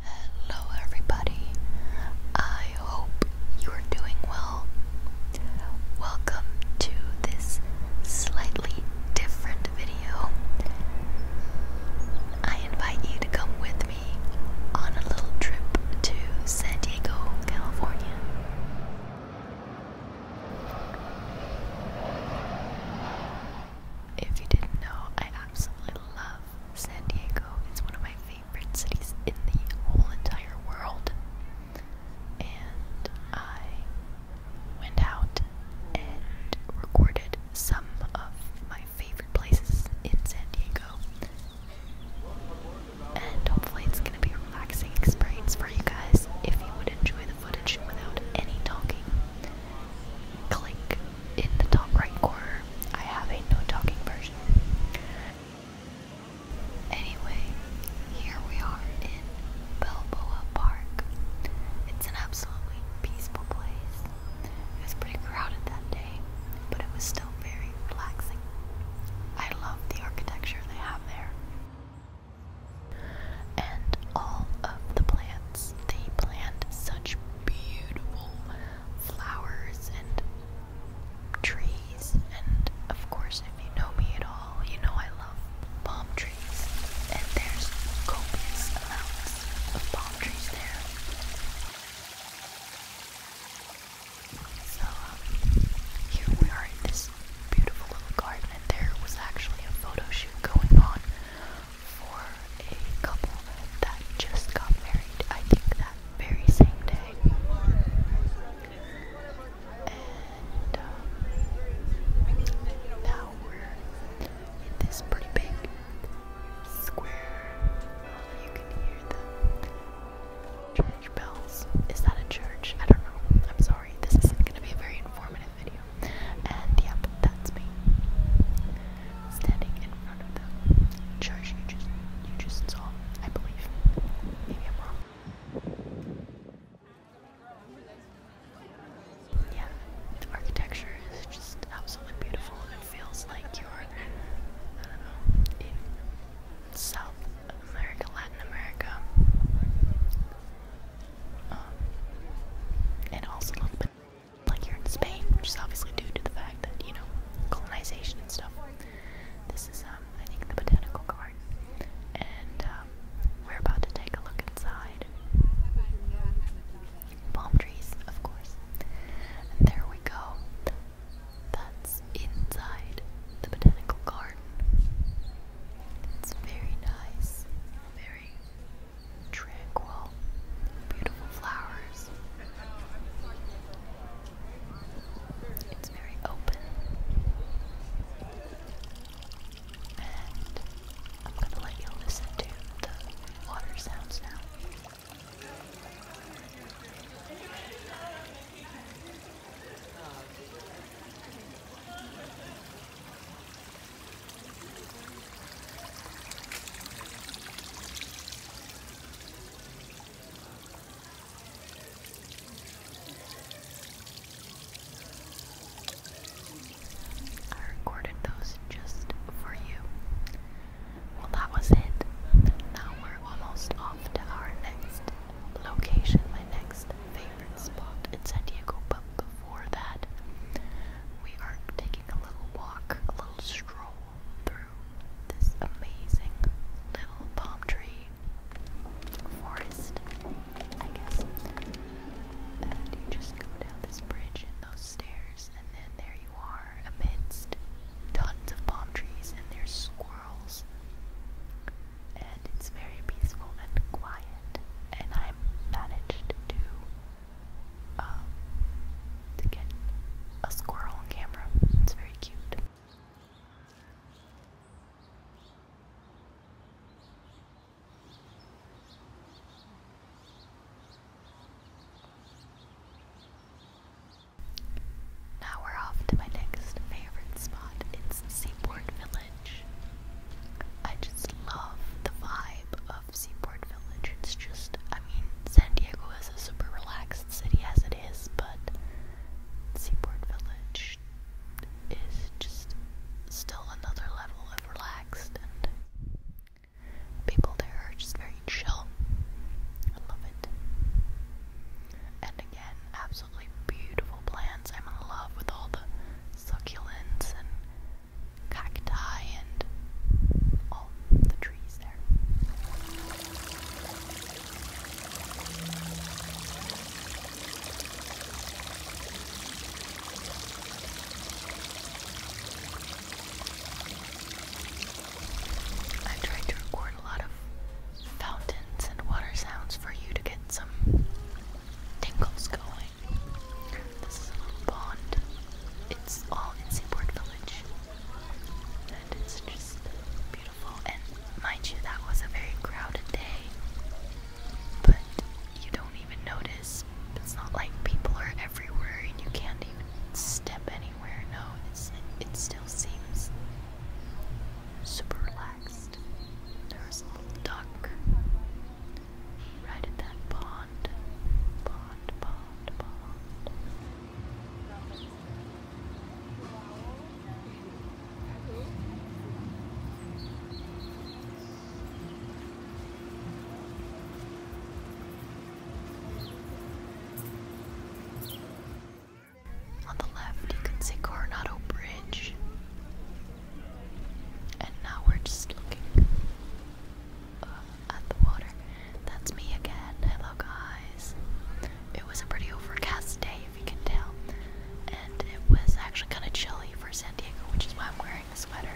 Hello, everybody. I hope you're doing well. Welcome to this slightly different video. I invite you to come with me on a little trip to San Diego, California. If you didn't know, I absolutely love San Diego. It's one of my favorite cities in the whole entire world. And I went out and recorded some of my favorite places in San Diego. And hopefully it's gonna be a relaxing experience for you guys if you would enjoy the footage without any talking. Click in the top right corner. I have a no talking version. Anyway, here we are in Balboa Park. It's an absolutely peaceful place. It was pretty crowded that day, but it was still very relaxing. I love the architecture they have there. And all of the plants, they plant such beautiful flowers and trees. And of course, if you know me at all, you know I love palm trees. And there's copious amounts of palm trees there. So, um, here we are in this beautiful little garden, and there was actually a photo shoot going on for a couple that just got married, I think that very same day. And, um, now we're in this pretty big square. You can hear the church bells. Is that a church? I don't know. I'm sorry. This isn't going to be a very informative video. And yep, that's me standing in front of the church you just you just saw. I believe. Maybe I'm wrong yeah, the architecture is just absolutely beautiful. and It feels like you're, I don't know, in South America, Latin America. Um, and also a little bit like you're in Spain, which is obviously due to the fact that, you know, colonization and stuff. This is, um, I think, the botanical garden. And um, we're about to take a look inside palm trees, of course. there we go. That's inside the botanical garden. It's very nice, very tranquil, beautiful flowers. It's very open and I'm gonna let you listen to the water sounds now. I recorded those just for you. Well, that was it. Now we're almost off to our next location, my next favorite spot in San Diego. But before that, we are taking a little walk, a little stroll through this amazing little palm tree forest, I guess. And you just go down this bridge and those stairs, and then there you are amidst tons of palm trees, and there's squirrels. And it's very peaceful and quiet. And I managed to um, to get a squirrel on camera. It's very cute. Now we're off to my next favorite spot. It's Seaport Village. I just love the vibe of Seaport Village. It's just, I mean, San Diego is a super relaxed city as it is, but Seaport Village is just still another level of relaxed, and people there are just very chill. I love it. And again, absolutely beautiful plants. I'm in love with all the succulents and cacti and all the trees there i tried to record a lot of fountains and water sounds for you to get some tingles going. This is a little pond. It's all in Seaport Village. And it's just beautiful. And mind you, that was a very crowded day but you don't even notice. It's not like people are everywhere and you can't even step anywhere. No, it, still seems super relaxed. There's a little duck right at that pond. Pond, pond, pond. On the left, you can see Coronado Bridge. And now we're just looking uh, at the water. That's me again. Hello, guys. It was a pretty overcast day if you can tell. And it was actually kind of chilly for San Diego, which is why I'm wearing a sweater.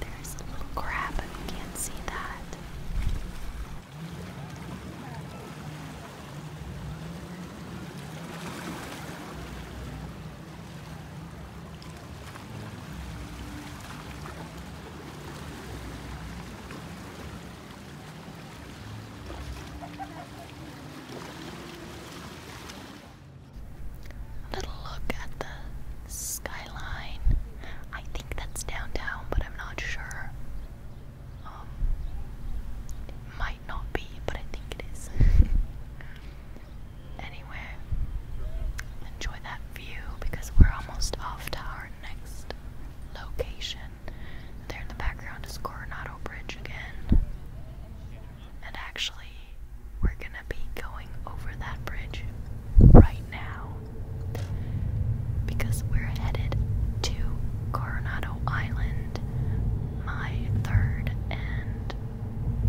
There's a little crab, but you can't see that. A little look at the skyline. I think that's downtown, but I'm not sure. Um, might not be, but I think it is. anyway, enjoy that view because we're almost off to our next location. There in the background is Coronado Bridge again. And actually, we're gonna be going over that bridge right now because we're headed to Coronado Island, my third and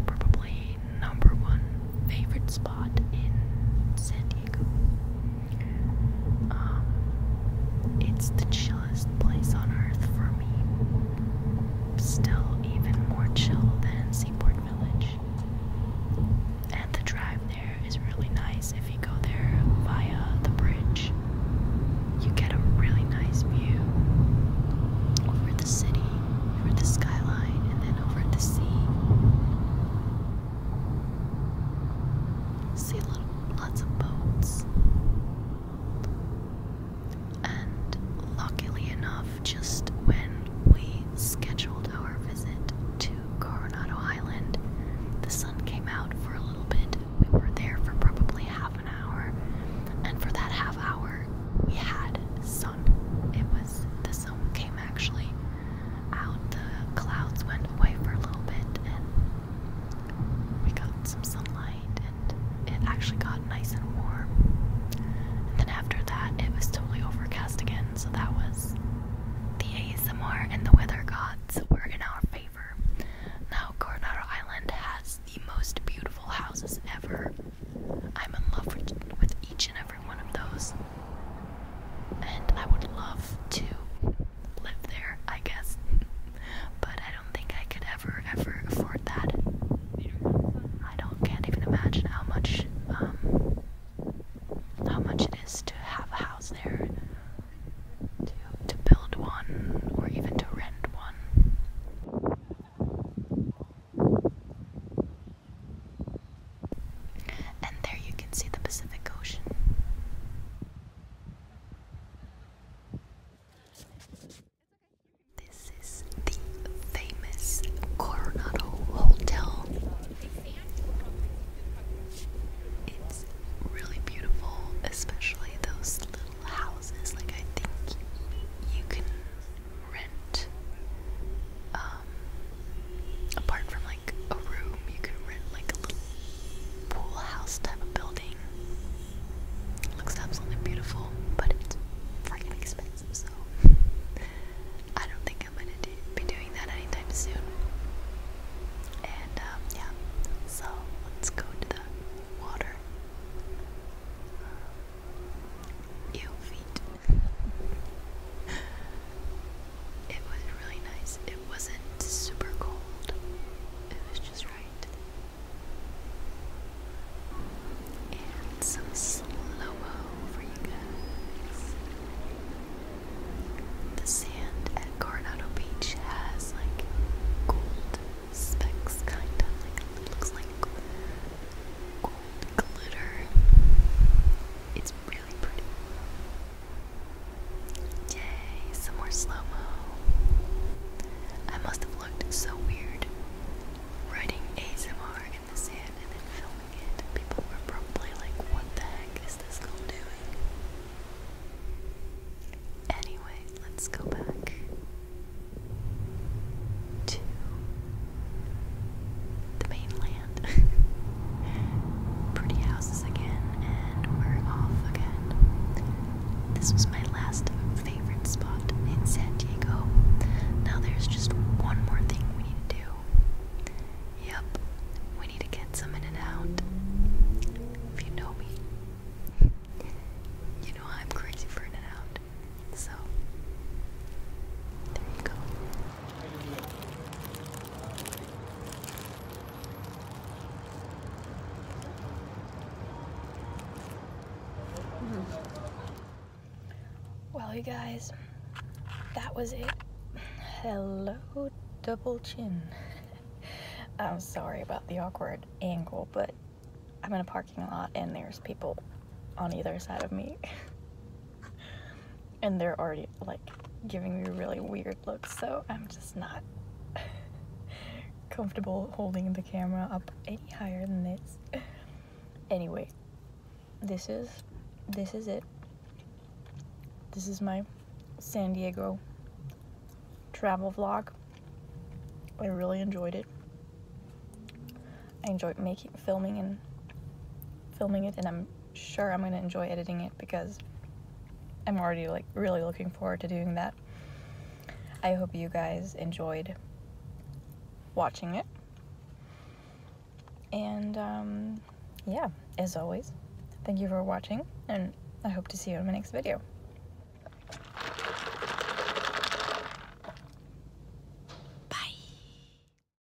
probably number one favorite spot in San Diego. Um, it's the chilliest place on earth for me still even more chill than Seaport Village. And the drive there is really nice if you go there via the bridge. You get a really nice view over the city, over the skyline, and then over the sea. See little, lots of boats. And luckily enough, just when we scheduled our visit to Coronado Island, the sun came out for a little bit. We were there for probably half an hour, and for that half hour, we had sun. It was the sun came actually out, the clouds went away for a little bit, and we got some sunlight and it actually got nice and warm. And then after that, it was totally overcast again, so that was the ASMR and the weather gods were in our favor. Now, Coronado Island has the most beautiful houses ever. I'm in love with each and every one of those. And I would love to live there, I guess. but I don't think I could ever, ever afford that. I don't can't even imagine how much um how much it is to have a house there, to to build one or even to rent one. And there you can see the Pacific Ocean. This is the famous Coronado Hotel. It's really beautiful, especially those little houses. Like, I think you can rent, um, apart from like a room, you can rent like a little pool house type of building. It looks absolutely beautiful, but it's freaking expensive, so I don't think I'm gonna be doing that anytime soon. And um, yeah, so let's go to the water. Uh, ew, feet. it was really nice it wasn't super cold. It was just right. And some slow for you guys. The sand at Coronado Beach has like gold specks, kind of like looks like gold glitter. It's really pretty. Yay, some more slow-mo. I must have looked so weird writing ASMR in the sand and then filming it. People were probably like, what the heck is this girl doing? Anyway, let's go back to the mainland. Pretty houses again, and we're off again. This was my last favorite spot in San Diego. Now there's just one more thing we need to do. Yep, we need to get some in and out. If you know me, you know I'm crazy for in and out. So, there you go. Mm-hmm. Well, you guys, that was it. Hello, double chin. I'm sorry about the awkward angle, but I'm in a parking lot and there's people on either side of me. and they're already like giving me really weird looks so I'm just not comfortable holding the camera up any higher than this anyway this is this is it this is my San Diego travel vlog I really enjoyed it I enjoyed making filming and filming it and I'm sure I'm going to enjoy editing it because I'm already like really looking forward to doing that. I hope you guys enjoyed watching it. And um, yeah, as always, thank you for watching and I hope to see you in my next video.